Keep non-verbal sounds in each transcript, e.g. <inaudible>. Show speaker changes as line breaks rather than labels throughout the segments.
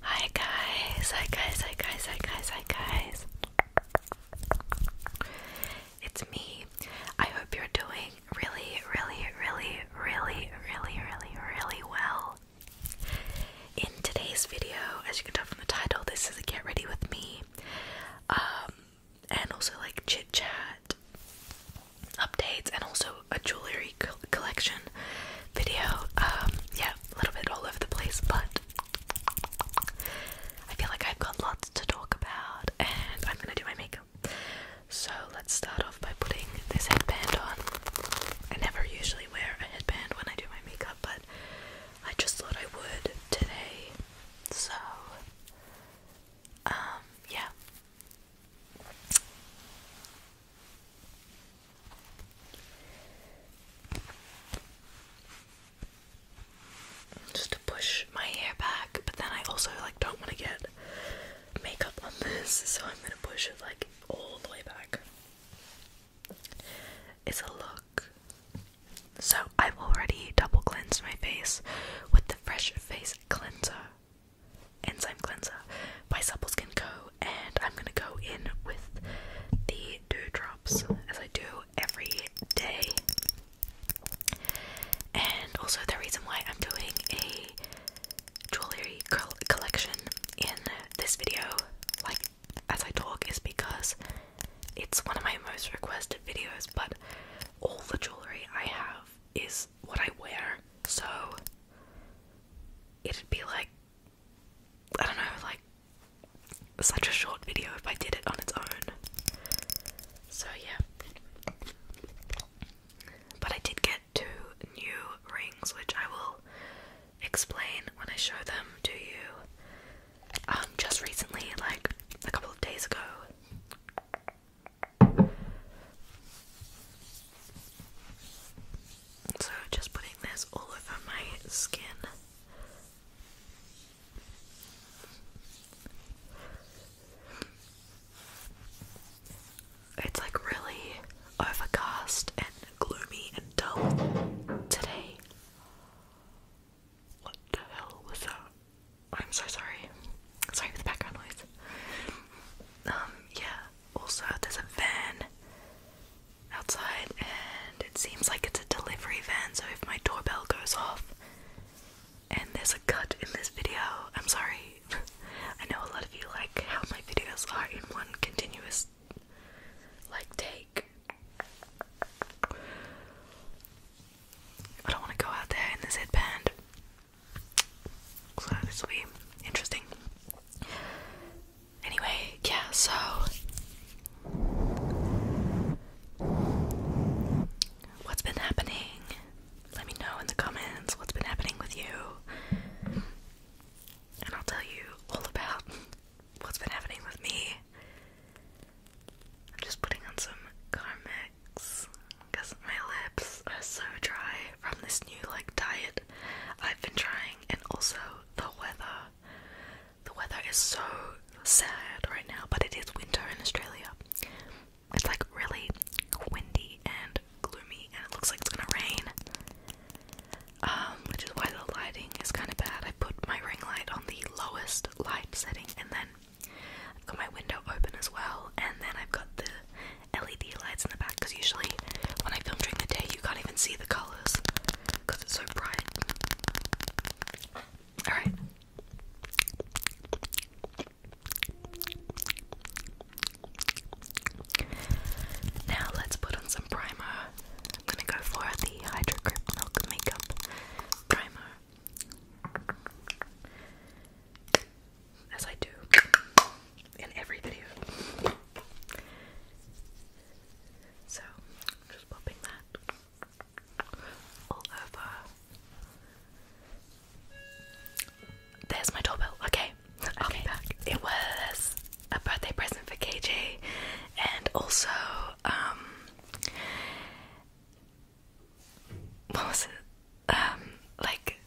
Hi guys, hi guys, hi guys, hi guys, hi guys. It's me. I hope you're doing really, really, really, really, really, really, really well. In today's video, as you can tell from the title, this is a get ready with me. Um and also like chit chat updates and also a jewelry collection video. Um, yeah, a little bit all over the place, but I feel like I've got lots to talk about, and I'm gonna do my makeup. So let's start off by putting this headband on. I never usually wear a headband when I do my makeup, but I just thought I would today. So um, yeah. Just to push my hair back, but then I also like don't want to get makeup on this, so I'm gonna push it like all the way back. It's a look. So I've already double cleansed my face with the Fresh Face Cleanser, Enzyme Cleanser by Supple Skin Co. And I'm gonna go in with the dew drops as I do every day. And also, the reason why I'm doing a jewelry collection in this video, like as I talk, is because it's one of my most requested videos. But all the jewelry I have is what I wear, so it'd be like I don't know, like such a short video if I did it on its own. So yeah. But I did get two new rings which I will explain when I show them to you. Um, just recently, like a couple of days ago. So, just putting this all over my skin. It's like really overcast and gloomy and dull today. What the hell was that? I'm so sorry. Sorry for the background noise. Um, yeah. Also, there's a van outside, and it seems like it's a delivery van, so if my doorbell goes off and there's a cut in this video, I'm sorry. <laughs> I know a lot of you like how my videos are in one continuous, like, take. I don't want to go out there in this headband. So this will be interesting. Anyway, yeah, so what's been happening? Let me know in the comments what's been happening with you. And I'll tell you all about what's been happening with me. I'm just putting on some karmic because my lips are so dry from this new like diet I've been trying and also the weather. The weather is so sad right now, but it is winter in Australia. It's like really windy and gloomy and it looks like it's gonna rain. Um, which is why the lighting is kind of bad. I put my ring light on the lowest light setting and then I've got my window open as well, and then I've got the LED lights in the back because usually when I film during the day, you can't even see the colours because it's so bright. Alright. Now let's put on some primer. I'm gonna go for the Hydro Grip Milk Makeup Primer as I do in every video. So, just popping that all over. There's my doorbell. Okay, I'll be back. It was a birthday present for KJ, and also, um, what was it? Um, like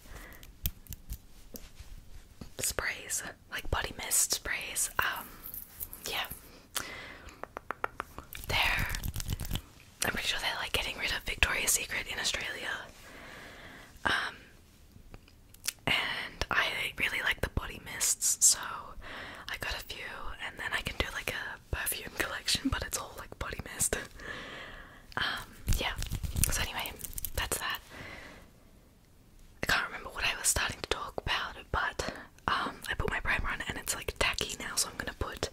sprays, like body mist sprays. Um, yeah, they're. I'm pretty sure they're like getting rid of Victoria's Secret in Australia. Um, and I really like the body mists, so I got a few, and then I can do like a perfume collection, but it's all like body mist. <laughs> Um, yeah. So anyway, that's that. I can't remember what I was starting to talk about, but um, I put my primer on and it's like tacky now, so I'm gonna put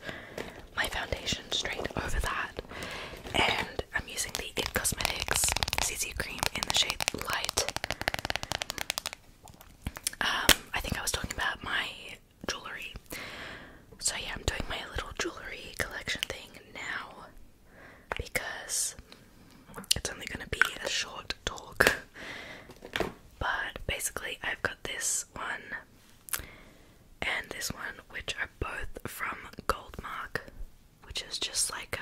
my foundation straight over that. And I'm using the It Cosmetics CC cream in the shade Light. Um, I think I was talking about my jewelry. So yeah, I'm doing my little jewelry collection thing now because it's only gonna be a short talk. But basically, I've got this one and this one, which are both from Goldmark, which is just like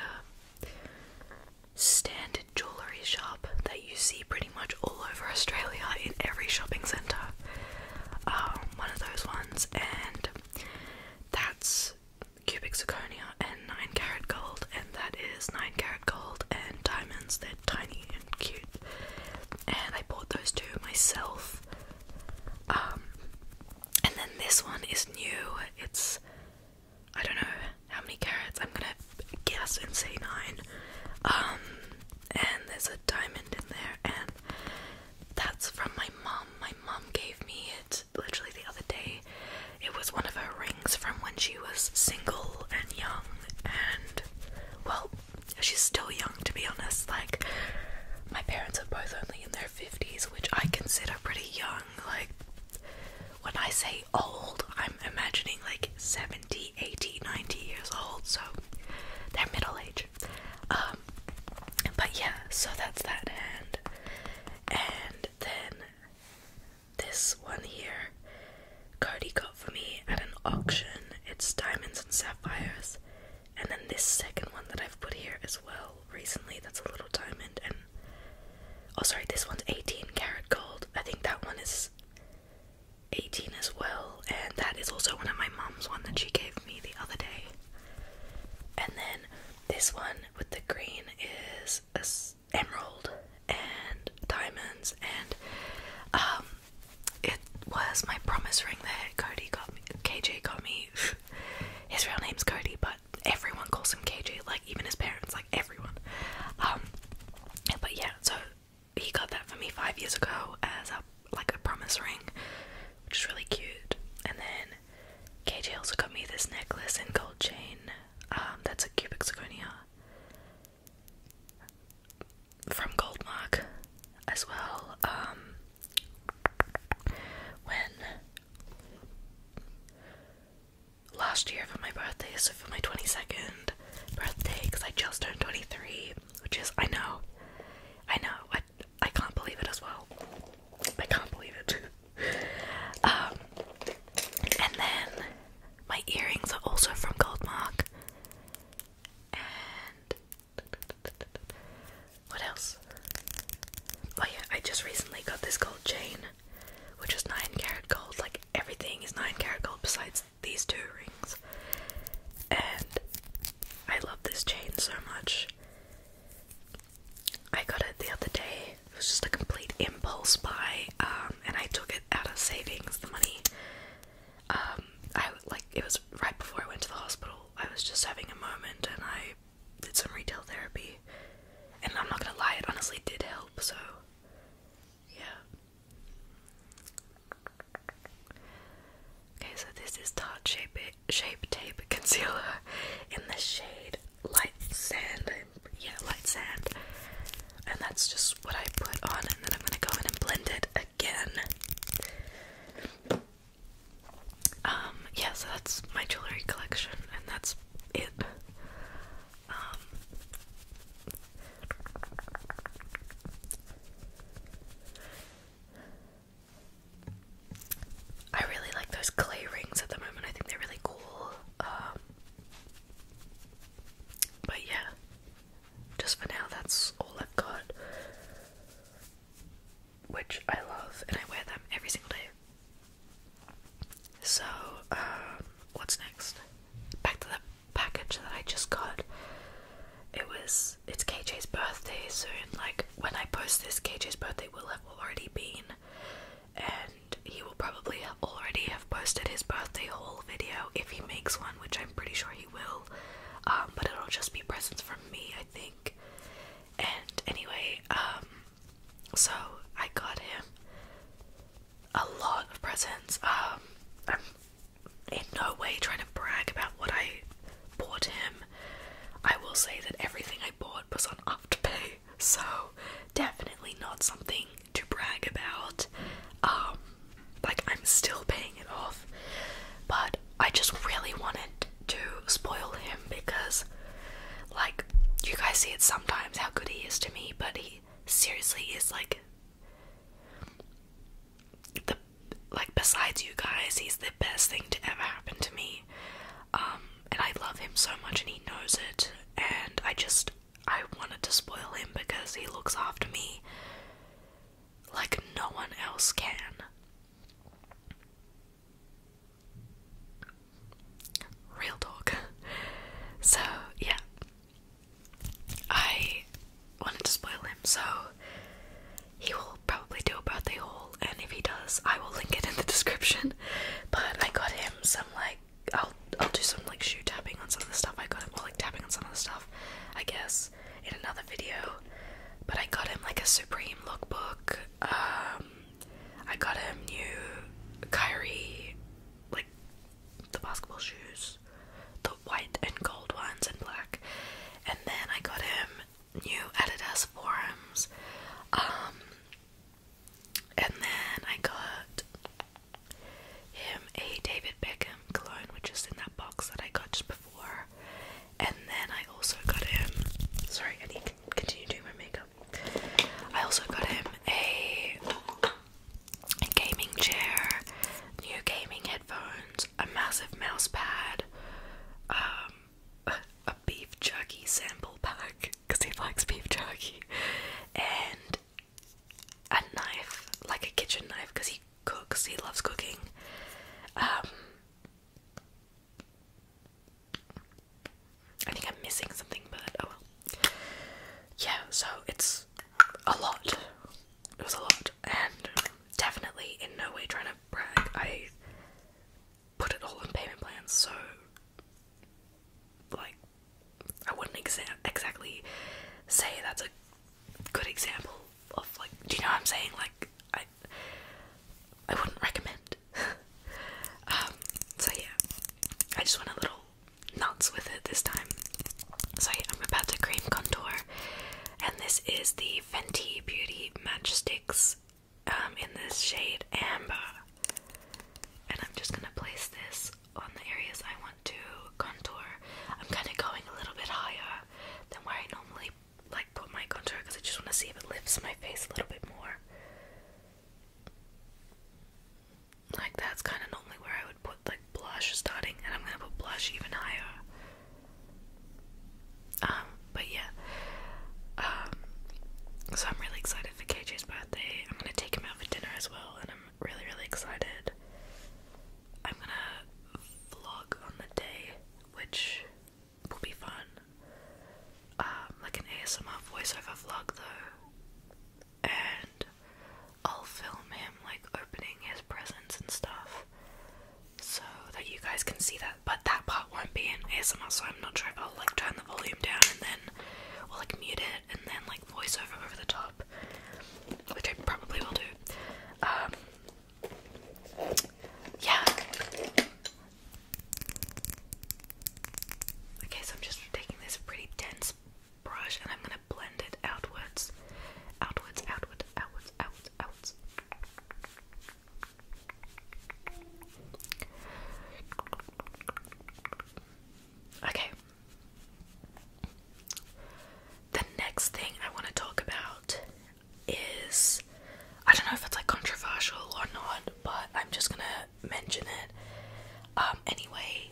a standard jewelry shop that you see pretty much all over Australia in every shopping centre. Um, one of those ones, and that's cubic zirconia and 9 carat gold, and that is 9 carat gold and diamonds. They're tiny and cute, and I bought those two myself. Um, and then this one is new. It's I don't know how many carats. I'm gonna guess and say nine. Um, and there's a diamond in there and that's from my mom. My mom gave me it literally the other day. It was one of her rings from when she was single and young and well, she's still young to be honest. Like my parents are both only in their 50s, which I consider pretty young. Like when I say old, I'm imagining like 70 70, 80, 90 years old, so they're middle aged um, but yeah, so that's that hand. And then this one here, Cody got for me at an auction. It's diamonds and sapphires. And then this second one that I've put here as well recently, that's a little diamond. And oh, sorry, this one's 18 karat gold. I think that one is 18 as well, and that is also one of my mom's one that she gave me the other day. And then this one with the green is emerald and diamonds, and um, it was my promise ring There, Cody got me. KJ got me. <laughs> his real name's Cody, but everyone calls him KJ, like even his parents, like everyone. Um, but yeah, so he got that for me five years ago as a like a promise ring, which is really cute. And then KJ also got me this necklace and gold chain. Um, that's a cubic zirconia from Goldmark as well. Um, when last year for my birthday, so for my 22nd birthday, because I just turned 23, which is I know, I know, I I can't believe it as well. I can't believe it. too. <laughs> Um, and then my earrings are also from Goldmark. And what else? Oh yeah, I just recently got this gold chain, which is nine carat gold. Like everything is nine carat gold besides these two rings. And I love this chain so much. I got it the other day. It was just a complete impulse buy, um, and I took it out of savings, the money. Um, I like it was right before I went to the hospital. I was just having a moment, and I did some retail therapy. And I'm not gonna lie, it honestly did help. So, yeah. Okay, so this is Tarte Shape, Shape Tape Concealer in the shade Light Sand. Yeah, Light Sand. And that's just what I put on, and then I'm gonna go in and blend it again. Um, yeah, so that's my jewelry collection, and that's it. Um, I really like those clay rings at the moment. I think they're really cool. Um, but yeah, just for now, that's all I've got. Which I love, and I wear them every single day. So, um, what's next? Back to that package that I just got. It was it's KJ's birthday soon. Like, when I post this, KJ's birthday will have already been, and he will probably already have posted his birthday haul video if he makes one, which I'm pretty sure he will. Um, but it'll just be presents from me, I think. And anyway, um, so I got him a lot of presents. Um, in no way trying to brag about what I bought him. I will say that everything I bought was on Afterpay, <laughs> so definitely not something to brag about. Um, like I'm still paying it off, but I just really wanted to spoil him because, like, you guys see it sometimes how good he is to me, but he seriously is like the like besides you guys, he's the best thing to ever happen to me. Um, and I love him so much, and he knows it. And I just I wanted to spoil him because he looks after me like no one else can. Real talk. <laughs> So yeah. I wanted to spoil him, so he will probably do a birthday haul, and if he does, I will link it in the description. But I got him some like I'll I'll do some like shoe tapping on some of the stuff I got him, or like tapping on some of the stuff, I guess, in another video. But I got him like a Supreme lookbook. Um, I got him new Kyrie, like the basketball shoes the white and gold ones and black. And then I got him new Adidas forums. Um and then I got him a David Beckham cologne, which is in that box that I got just before. And then I also got him. Sorry, I need to doing my makeup. I also got him a gaming chair, new gaming Phones, a massive mouse pad, um, <laughs> a, beef jerky sample pack because he likes beef jerky, and a knife, like a kitchen knife, because he cooks, he loves cooking. Um, I think I'm missing something, but oh well. Yeah, so it's a lot it was a lot, and um, definitely in no way trying to brag. I put it all in payment plans, so like I wouldn't exa- exactly say that's a good example of like. Do you know what I'm saying? Like I, I wouldn't recommend. <laughs> um. So yeah, I just went a little nuts with it this time. So I'm about to cream contour and this is the Fenty Beauty Matchsticks um, in this shade Amber. And I'm just gonna place this on the areas I want to contour. I'm kind of going a little bit higher than where I normally like put my contour because I just want to see if it lifts my face a little bit more. Like that's kind of normally where I would put like blush starting, and I'm gonna put blush even higher. Um, but yeah. Um, so I'm really excited for KJ's birthday. I'm gonna take him out for dinner as well, and I'm really, really excited. I'm gonna vlog on the day, which will be fun. Um, like an ASMR voiceover vlog though. And I'll film him like opening his presents and stuff so that you guys can see that. But that part won't be in ASMR, so I'm not sure if I'll like turn the volume down and then, or like mute it and then like voice over over the top, which I probably will do. Um, yeah. Okay, so I'm just taking this pretty dense brush and I'm gonna blend it outwards, outwards, outwards, outwards, outwards, outwards. Okay. The next thing I want to talk about is I don't know if it's like controversial or not, but I'm just gonna mention it um, anyway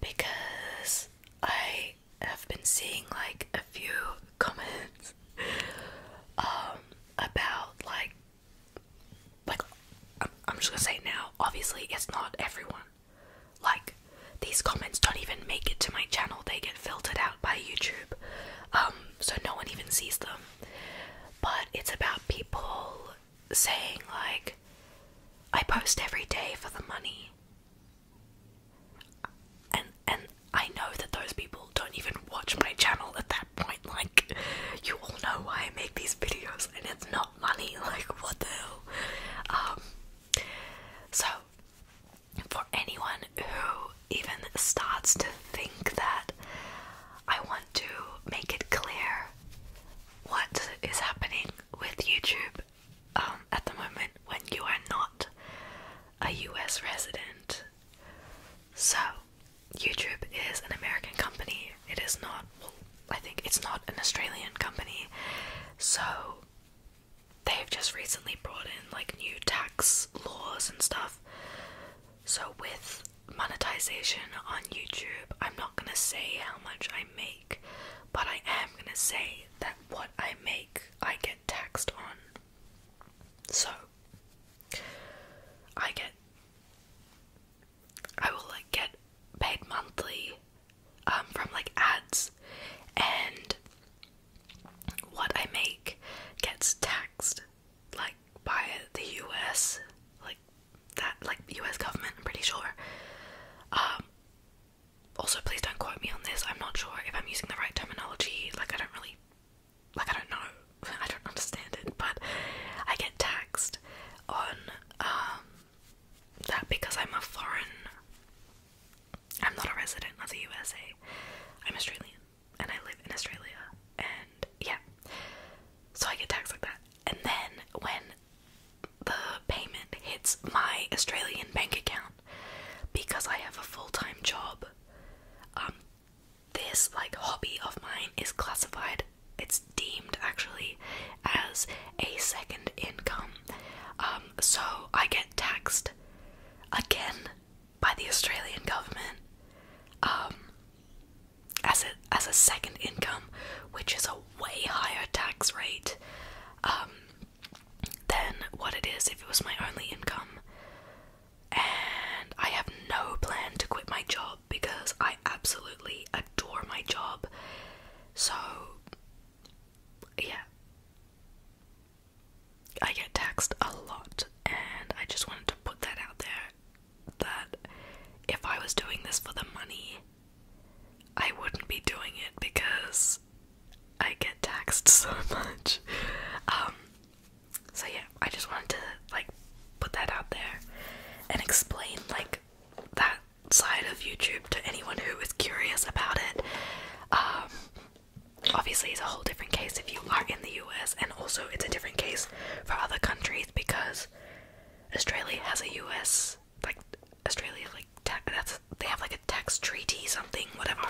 because I i have been seeing like a few <laughs> comments um about like like I'm, I'm just gonna say now obviously it's not everyone like these comments don't even make it to my channel they get filtered out by youtube um so no one even sees them but it's about people saying like i post every day for the money and and I know that those people don't even watch my channel at that point. Like, you all know why I make these videos, and it's not money. <laughs> Like, what the hell? Um, so for anyone who even starts to think that, I want to make it clear what is happening with YouTube um, at the moment when you are not a US resident. So, YouTube is an American company. It is not, I think it's not an Australian company. So, they've just recently brought in like new tax laws and stuff. So, with monetization on YouTube, I'm not gonna say how much I make, but I am gonna say that what I make, I get get taxed on. So I get I will like get paid monthly um, from like ads and what I make gets taxed like by the US like that like US government I'm pretty sure. Um, also please don't quote me on this. I'm not sure if I'm using the right terminology. Like I don't really like I don't know. <laughs> I don't understand it, but I get taxed on um, that because I'm a foreign I'm not a resident of the USA. I'm Australian and I live in Australia and yeah. So I get taxed like that. And then when the payment hits my Australian bank account, because I have a full-time job. Um, this like hobby of mine is classified it's deemed actually as a second income. Um, so I get taxed again by the Australian government um, as a as a second income which is a way higher tax rate than what it is if it was my only income. And I have no plan to quit my job because I absolutely adore my job. So, yeah. I get taxed a lot, and I just wanted to put that out there that if I was doing this for the money, I wouldn't be doing it because I get taxed <laughs> so much. Um, so yeah, I just wanted to like put that out there and explain like that side of YouTube to anyone who is curious about it. Um, obviously, it's a whole different case if you are in the US, and also it's a different case for other countries because Australia has a US like Australia like ta that's they have like a tax treaty something whatever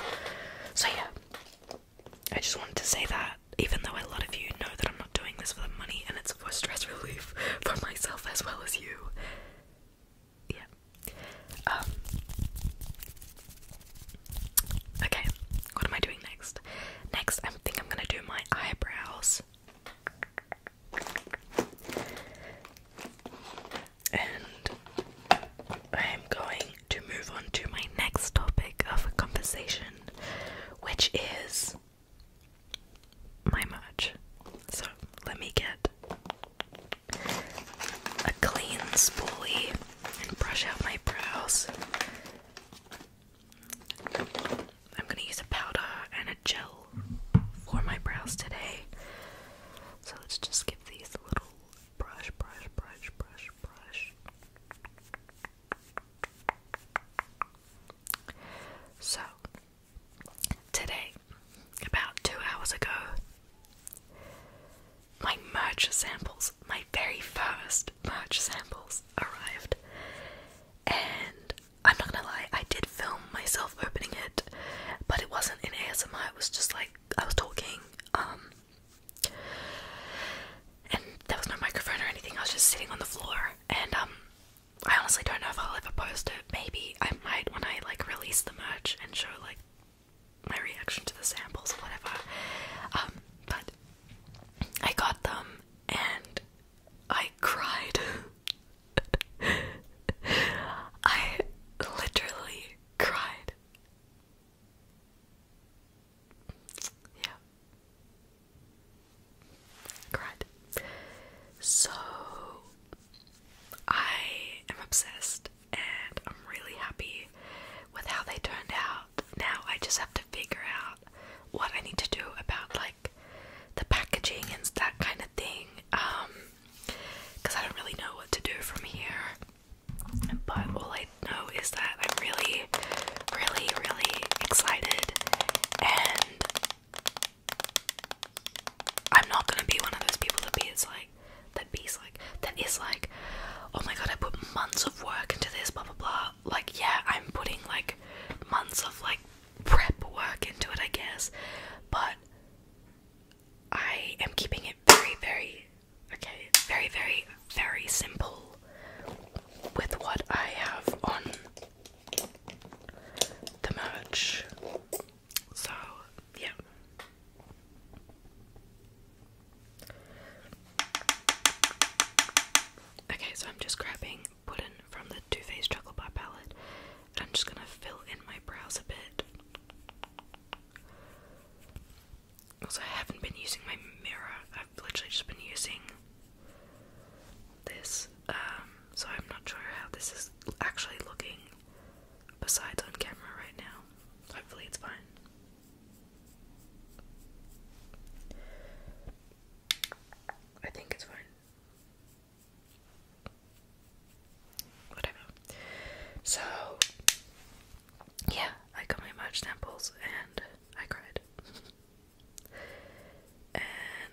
so yeah i just wanted to say that even though a lot of you know that i'm not doing this for the money and it's for stress relief <laughs> for myself as well as you yeah um okay what am i doing next next i think i'm gonna do my eyebrows and I am going to move on to my next topic of conversation, which is my merch. So let me get a clean spoolie and brush out my brows. I'm gonna use a powder and a gel for my brows today. So let's just give these a little brush, brush, brush, brush, brush. So, today, about two hours ago, my merch samples, my very first merch samples, arrived. And I'm not gonna lie, I did film myself opening it, but it wasn't in ASMR, it was just like I was talking, um, and there was no microphone or anything, I was just sitting on the floor and um I honestly don't know if I'll ever post it. Maybe I might when I like release the merch and show like my reaction to the samples or whatever. Um, but I got them and I cried. <laughs> I literally cried. Yeah. Great. So I am obsessed and I'm really happy with how they turned out. Now I just have to figure out what I need to do about like the packaging and that kind of thing. Um because I don't really know what to do from here. But all I know is that I'm really, really, really excited, and I'm not gonna be one of those people that be it's like that be's like that is like, oh my god, I put months of work into this, blah blah blah. Like yeah, I'm putting like months of like prep work into it, I guess, but I am keeping it very, very Okay, very, very, very simple with what I have on the match. So, yeah. Okay, so I'm just grabbing Puddin from the Too Faced Chocolate Bar palette, and I'm just gonna fill in my brows a bit. Also, I haven't been using my mirror. I've literally just been using this. Um, so I'm not sure how this is actually looking besides on camera right now. Hopefully it's fine. I think it's fine. Whatever. So yeah, I got my March samples and I cried. <laughs> and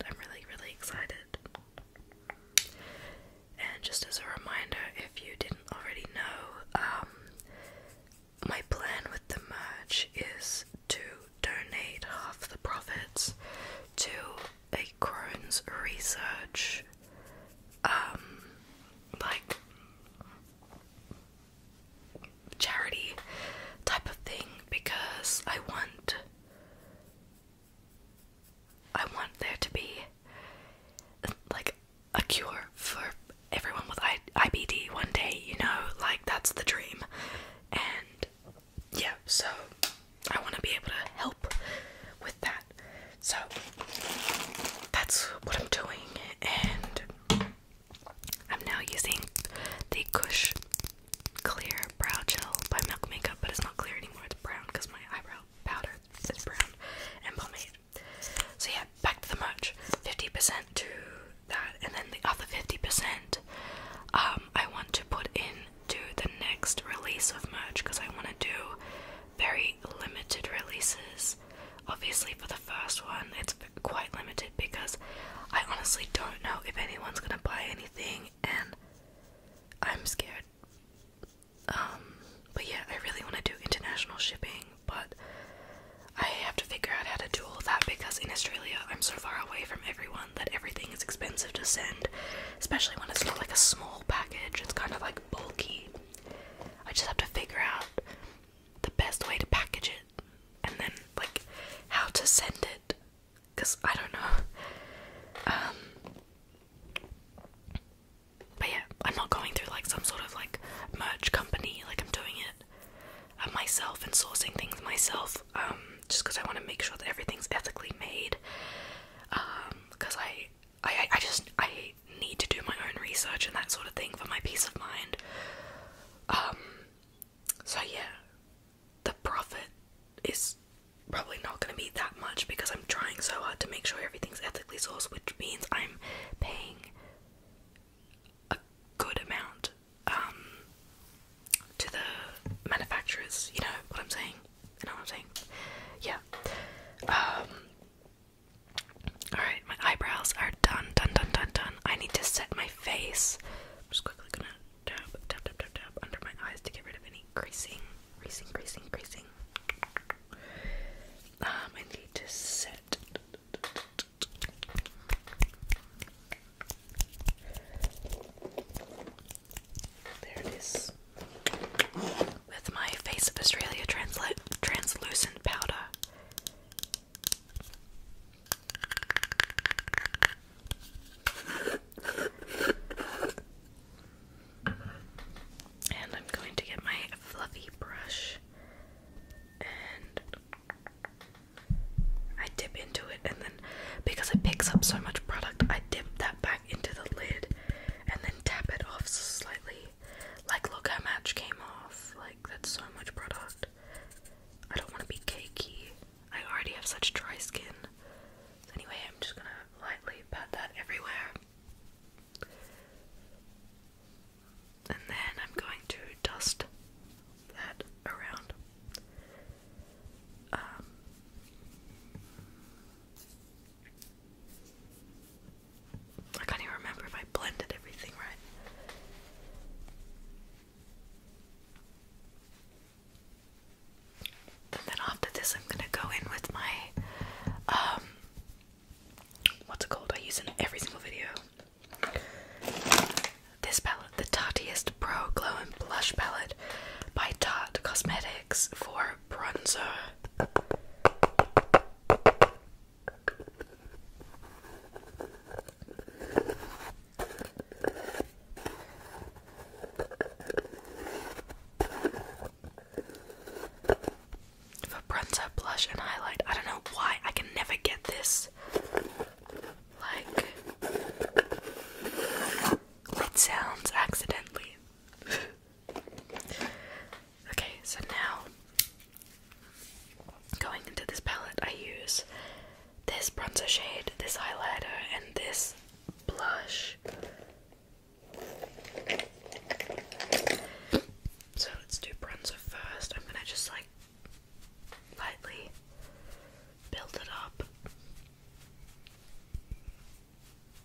I'm really, really excited. And just as a reminder, if you didn't already know, um, my plan with the merge is to donate half the profits to a Crohn's research um, like charity type of thing because I want I want there to be like a cure for everyone with IBD one day, you know, like that's the dream. And yeah, so I want to be able to help with that. So that's what I'm doing, and I'm now using the Kush Clear Brow Gel by Milk Makeup, but it's not clear anymore, it's brown because my eyebrow powder is brown and pomade. So, yeah, back to the merch 50% to that, and then the other 50%. Um, I want to put into the next release of merch because I want to do very limited releases Obviously, for the first one, it's quite limited because I honestly don't know if anyone's gonna buy anything, and I'm scared. Um, but yeah, I really want to do international shipping, but I have to figure out how to do all that because in Australia, I'm so far away from everyone that everything is expensive to send, especially when it's not like a small package, it's kind of like bulky. I just have to figure out the best way to package it and then like how to send it because I don't know. Um, but yeah, I'm not going through like some sort of like merch company, like I'm doing it uh, myself and sourcing things myself um, just because I want to make sure that everything's ethically made because um, I I, I just I need to do my own research and that sort of thing for my peace of mind. Um, so yeah, the profit is probably not going to be that much because I'm trying so hard to make sure everything's ethically sourced, which means I'm paying a good amount um, to the manufacturers. You know what I'm saying? You know what I'm saying? Yeah. Um, Alright, my eyebrows are done, done, done, done, done. I need to set my face. I'm just quickly gonna tap, tap, tap, tap, tap under my eyes to get rid of any creasing, creasing, creasing, creasing. Um, I need to set. There it is with my Face of Australia translucent powder. And I'm going to get my fluffy brush and I dip into it, and then because it picks up so much product, I dip that back into the lid and then tap it off slightly like, look, how much came off. Like, that's so much product. I don't want to be cakey. I already have such dry skin. anyway, I'm just gonna lightly pat that everywhere. And then I'm going to dust that around. Um, I can't even remember if I blended everything right. And then after this, I'm gonna go in with my, um, what's it called? I use in every single video. This palette, the Tartiest Pro Glow and Blush Palette by Tarte Cosmetics for bronzer. For blush, and highlight, I don't know why I can never get this. Like, it sounds accidentally. <laughs> Okay, so now going into this palette, I use this bronzer shade, this highlighter, and this blush. So let's do bronzer first. I'm gonna just like lightly build it up.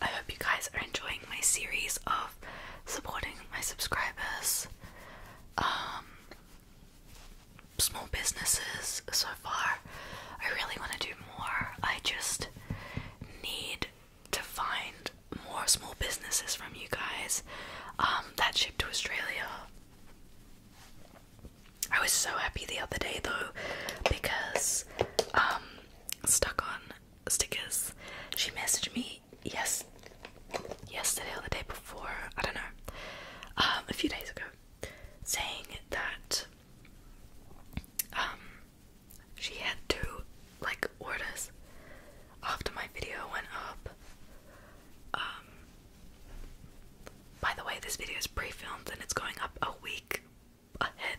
I hope you guys are enjoying my series of supporting my subscribers, um, small businesses so far. I really want to do more. I just need to find more small businesses from you guys um, that ship to Australia. I was so happy the other day though because um, stuck on stickers. She messaged me yes yesterday or the day before I don't know um, a few days ago saying that um, she had to like orders after my video went up. Um, by the way, this video is pre-filmed and it's going up a week ahead.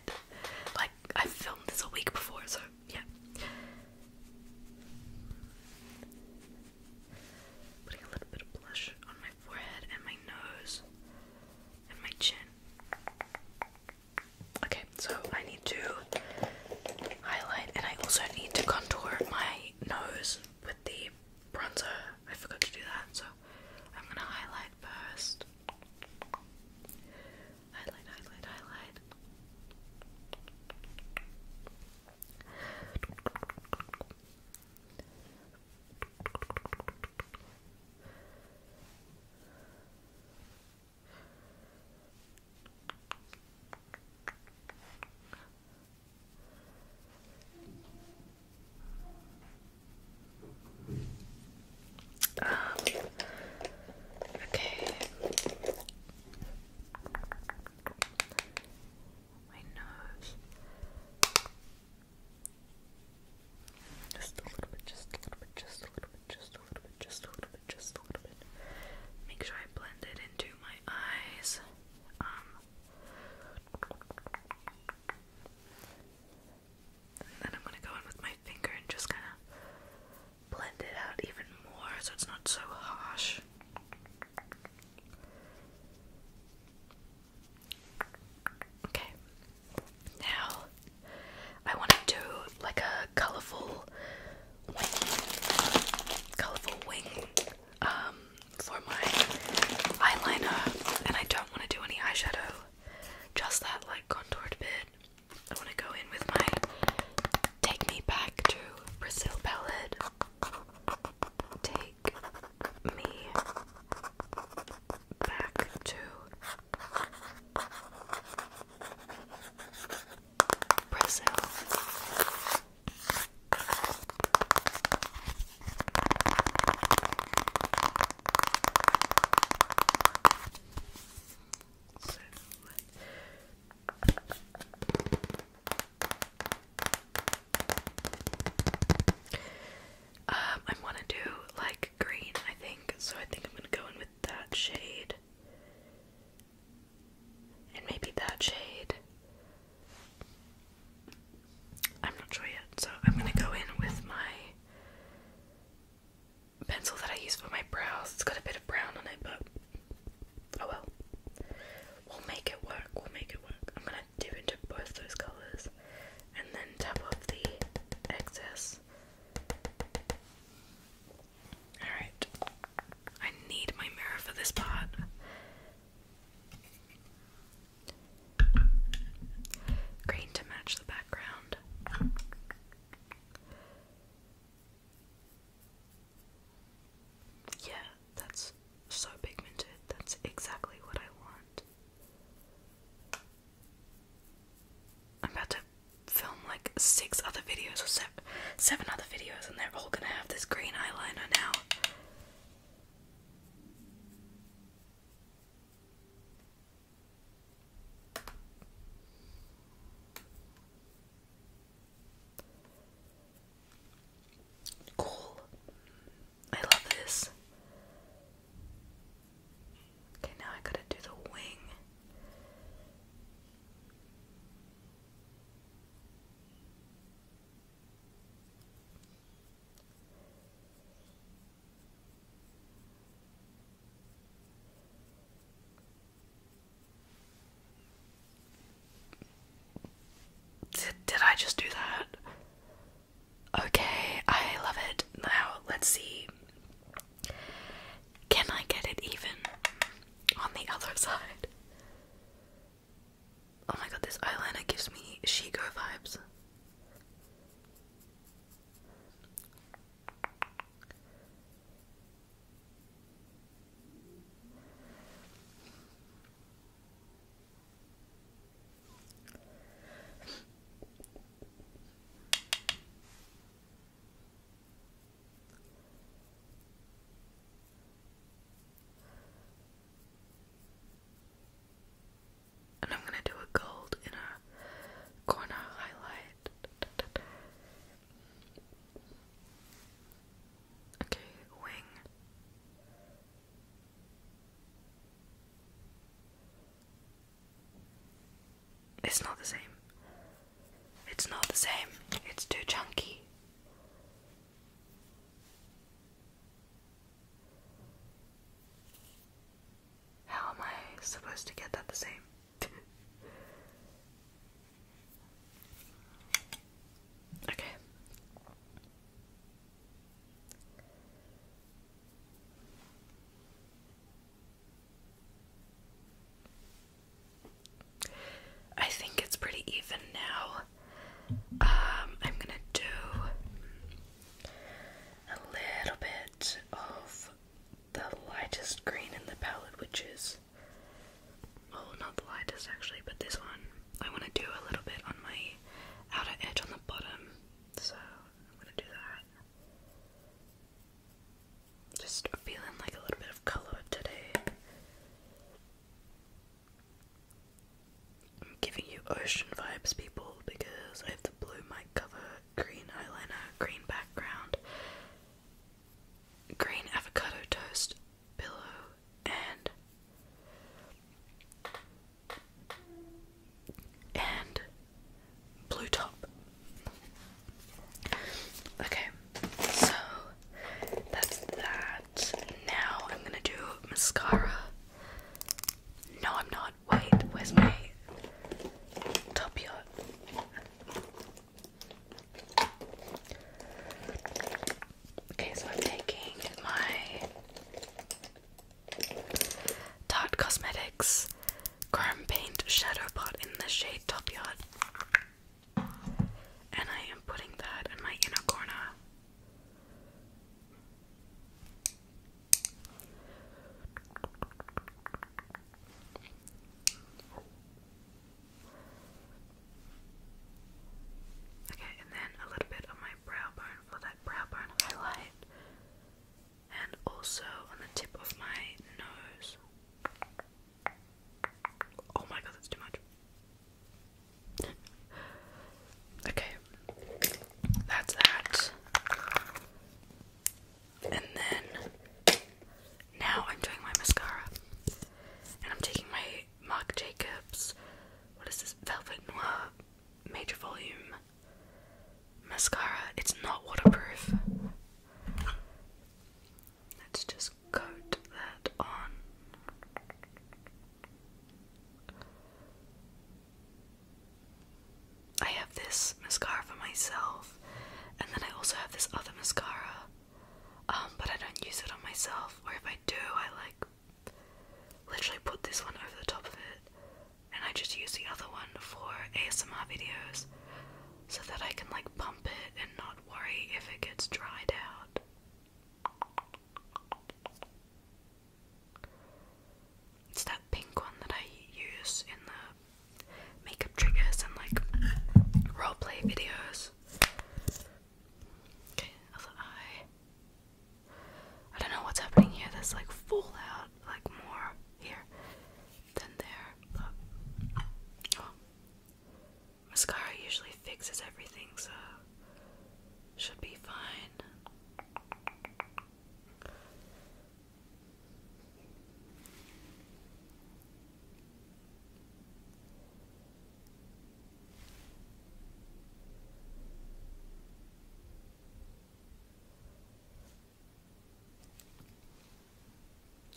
Like I filmed this a week before, so yeah. Putting a little bit of blush on my forehead and my nose and my chin. Okay, so I need to highlight, and I also need to contour my nose with the bronzer. I forgot to do that, so I'm gonna highlight first. Highlight, highlight, highlight. Um, okay. My nose. Just a little bit, just a little bit, just a little bit, just a little bit, just a little just a little bit. Make sure I blend it into my eyes. Um, then I'm gonna go in with my finger and just kind of blend it out even more so it's not so harsh. Okay. Now I want to do like a colorful wing, colorful wing um, for my eyeliner, and I don't want to do any eyeshadow. Just that like contoured bit. I want to go in with my Take Me Back to Brazil palette. Take me back to Brazil. So um, I want to do like green, I think. So I think I'm going to go in with that shade. And maybe that shade. I'm not sure yet, so I'm gonna go in with my pencil that I use for my brows. It's got a bit of brown on it, but oh well. We'll make it work, we'll make it work. I'm gonna dip into both those colours and then tap off the excess. Alright. I need my mirror for this part. Green to match the background. Yeah, that's so pigmented. That's exactly what I want. I'm about to film like six other videos or seven seven other videos and they're all gonna have this green eyeliner now. Cool. I love this. Okay, now I gotta do the wing. Did, I just do that? Okay, I love it. Now, let's see. Can I get it even on the other <laughs> side? Oh my god, this eyeliner gives me Shego vibes. And I'm going to do a gold in a corner highlight. Okay, wing. It's not the same. It's not the same, it's too chunky. How am I supposed to get that the same? <laughs> okay. I think it's pretty even now. Um, I'm gonna do a little bit of the lightest green in the palette, which is oh, not the lightest actually, but this one. I want to do a little bit on my outer edge on the bottom, so I'm gonna do that. Just feeling like a little bit of color today. I'm giving you ocean vibes, people, because I have the blue mic cover, green eyeliner, green background, green avocado toast pillow, and and blue top. Okay, so that's that. Now I'm gonna do mascara. No, I'm not. Wait, where's my top yacht? Okay, so I'm taking my Tarte Cosmetics Chrome Paint Shadow Pot in the shade Top Yacht. And I am putting that in my inner corner. Okay, and then a little bit on my brow bone for that brow bone highlight. And also on the tip of my nose. Oh my god, that's too much. okay, that's that. And then now I'm doing my mascara, and I'm taking my Marc Jacobs. What is this? Velvet Noir Major Volume mascara. It's not waterproof. Let's just coat that on. I have this mascara for myself, and then I also have this other mascara, um, but I don't use it on myself, or if I do, I like literally put this one over the top of it, and I just use the other one for ASMR videos so that I can like pump it and not worry if it gets dried out. It's that pink one that I use in the makeup triggers and like role play videos. Okay, other eye. I don't know what's happening here. There's like fallout, like more here than there. But oh. Mascara usually fixes everything, so should be fine.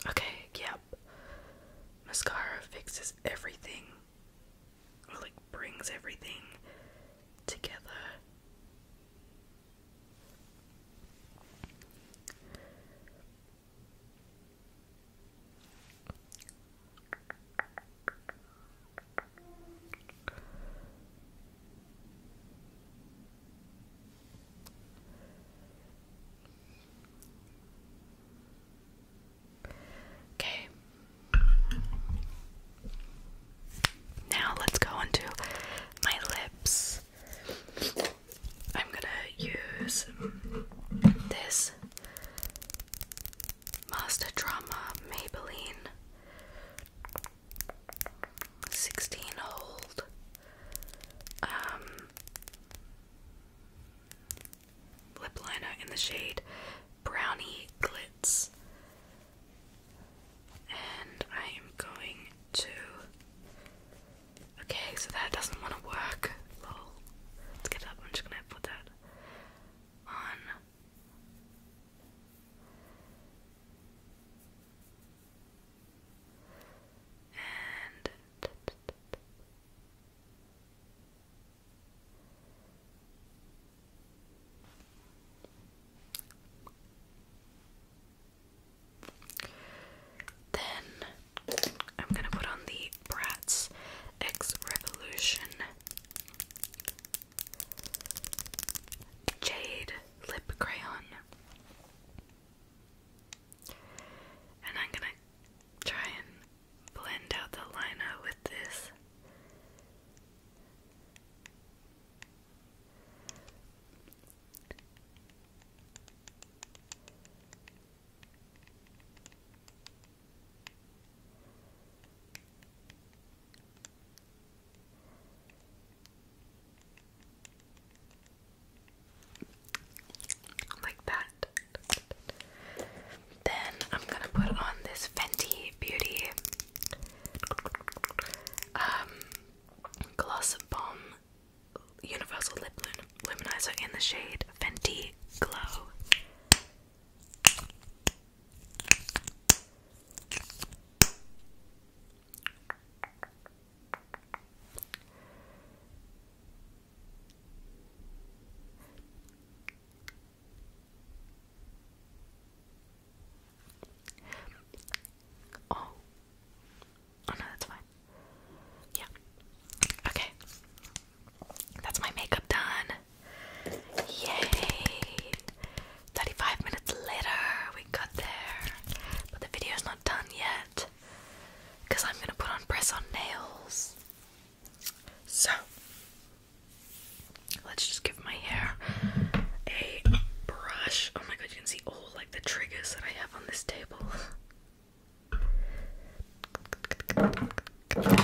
Okay, yeah, Mascara fixes everything, like brings everything together. Okay. Now let's go on my lips. I'm gonna use this Master Drama Maybelline 16 hold um, lip liner in the shade Brownie Glitz. And I am going to. Okay, so that doesn't want to work. Let's get up. I'm just gonna put that on. Then I'm gonna put on the Bratz X Revolution Jade Lip Crayon. And I'm gonna try and blend out the liner with this. Like that. Then I'm gonna put on this Fenty Beauty um, Gloss Bomb Universal Lip Luminizer in the shade Fenty Glow. Oh. oh. no, that's fine. Yeah. Okay. That's my makeup done. Yay! 35 minutes later, we got there. But the video's not done yet. Because I'm gonna put on press on nails. So let's just give my hair a brush. Oh my god, you can see all like the triggers that I have on this table. Okay.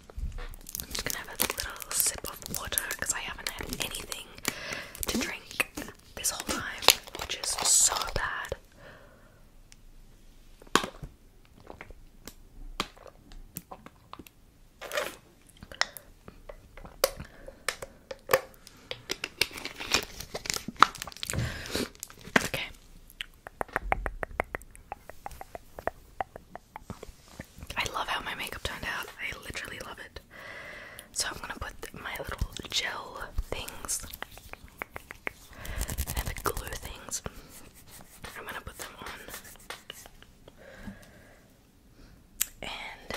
I'm just gonna have a little sip of water because I haven't had anything to drink this whole time, which is so bad. Okay. I love how my makeup turned out. I literally love it. So I'm gonna put my little gel things and the glue things. I'm gonna put them on. And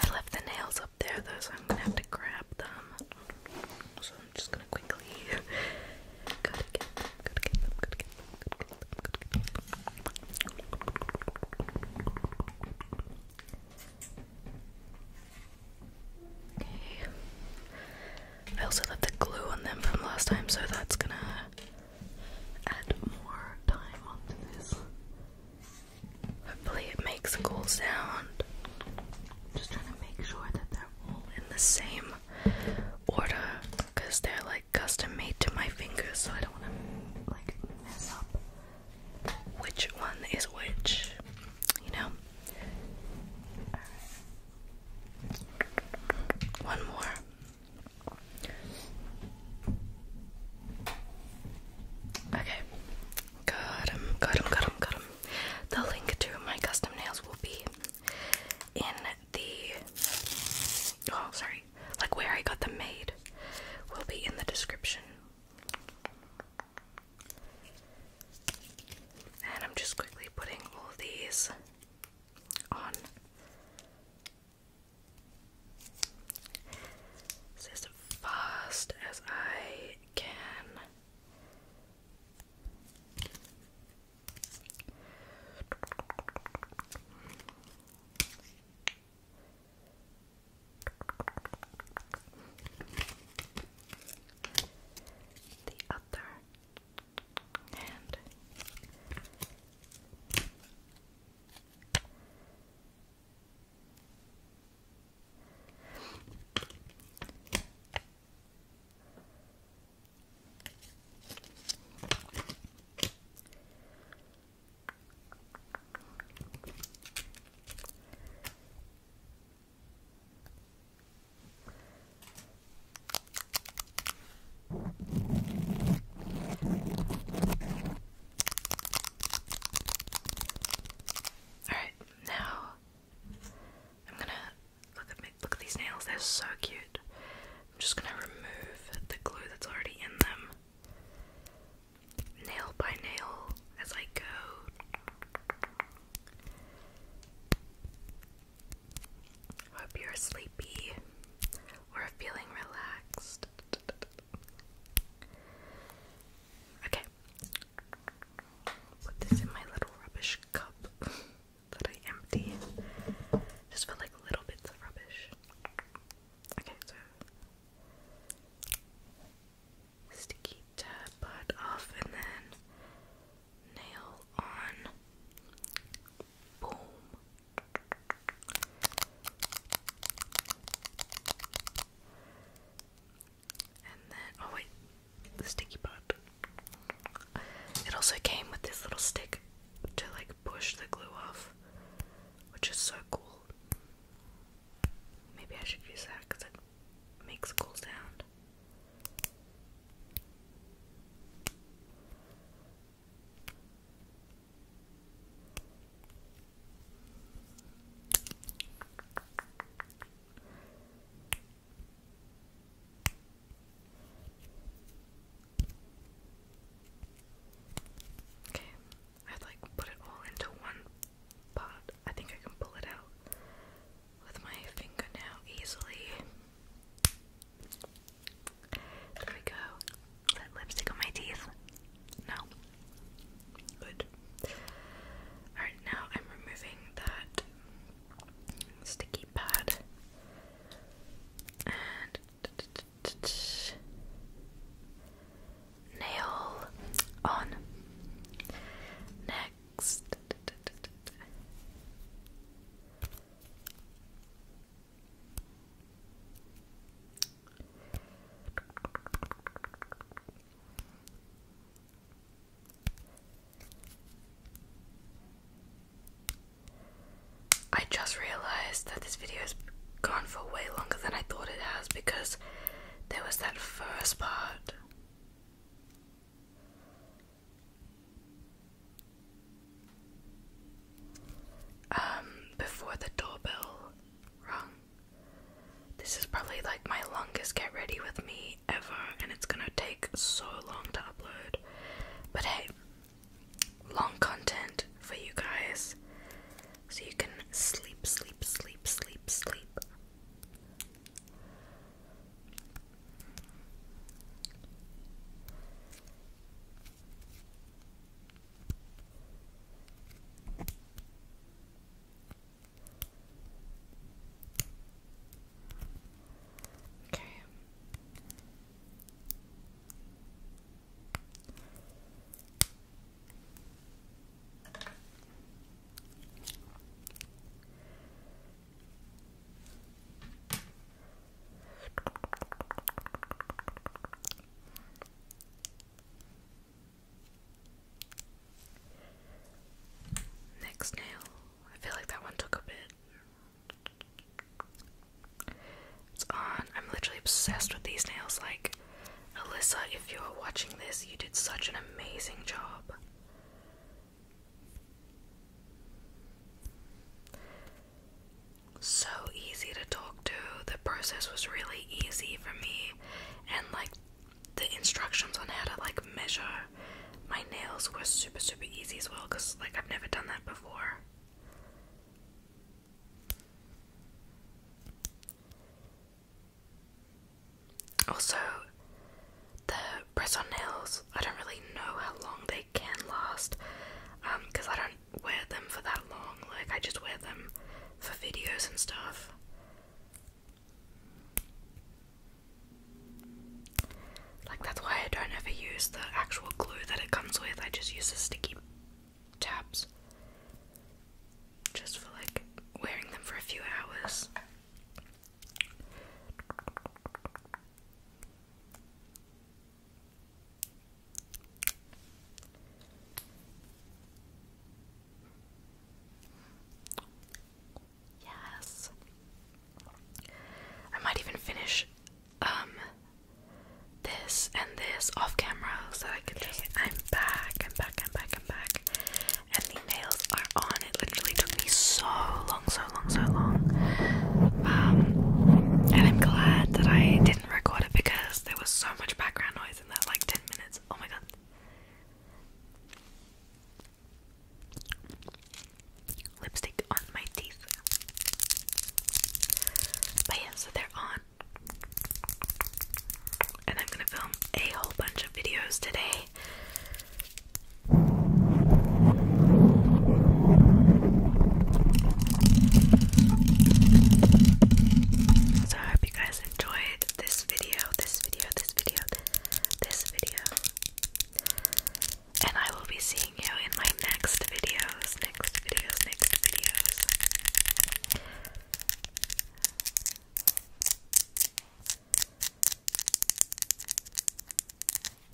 I left the nails up there though, so I'm gonna have to grab them. So I'm just gonna quickly <laughs> I also left the glue on them from last time, so that's gonna add more time onto this. Hopefully, it makes a cool sound. Just trying to make sure that they're all in the same order because they're like custom made to my fingers, so I don't want to like mess up which one is which, you know? One more. Okay. Got him, got him, got him, got him. The link to my custom nails will be in the. Oh, sorry. Like where I got them made will be in the description. And I'm just quickly putting all these on. as fast as I can. The other hand. Alright, now I'm gonna look at look at these nails, they're so cute. I'm just gonna remove the glue that's already in them nail by nail as I go. Hope you're sleepy or feeling relaxed. Okay. Put this in my little rubbish cup that I empty just for like little bits of rubbish. Okay, so sticky tab off and then nail on. Boom. And then, oh wait, sticky part. It also came with this little stick to like push the glue off, which is so cool. Maybe I should use that because it makes a cool sound. Okay, I'd like put it all into one pot. I think I can pull it out with my finger now easily. There we go. that lipstick on my teeth? No. Good. Alright, now I'm removing that sticky pad. And nail on. Next. I just realized that this video has gone for way longer than I thought it has because there was that first part. Um, before the doorbell rung. This is probably like my longest get ready with me ever, and it's gonna take so long to upload. But hey, long content for you guys. So you can sleep, sleep, sleep, sleep, sleep. Okay. Next nail. I feel like that one took a bit. It's on. I'm literally obsessed with these nails. Like, Alyssa, if you're watching this, you did such an amazing job. So easy to talk to. The process was really easy for me, and like the instructions on how to like measure my nails were super super easy as well because like I've never done that before. Also, the press on nails, I don't really know how long they can last because um, I don't wear them for that long, like, I just wear them for videos and stuff. Like, that's why I don't ever use the actual glue that it comes with, I just use the sticky tabs just for like wearing them for a few hours. Yes. I might even finish um this and this off camera so I can just back, i back, i back, i back. And the nails are on. It literally took me so long, so long, so long. Um, and I'm glad that I didn't record it because there was so much background noise in that like 10 minutes. Oh my god. Lipstick on my teeth. But yeah, so they're on. And I'm gonna film a whole bunch of videos today. So I hope you guys enjoyed this video, this video, this video, this video. And I will be seeing you in my next videos, next videos, next videos.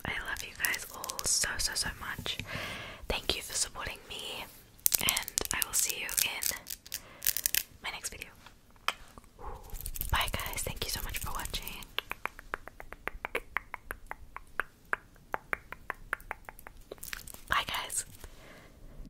I love you guys all so, so, so much. Thank you for supporting me, and I will see you in my next video. Bye, guys. Thank you so much for watching. Bye, guys.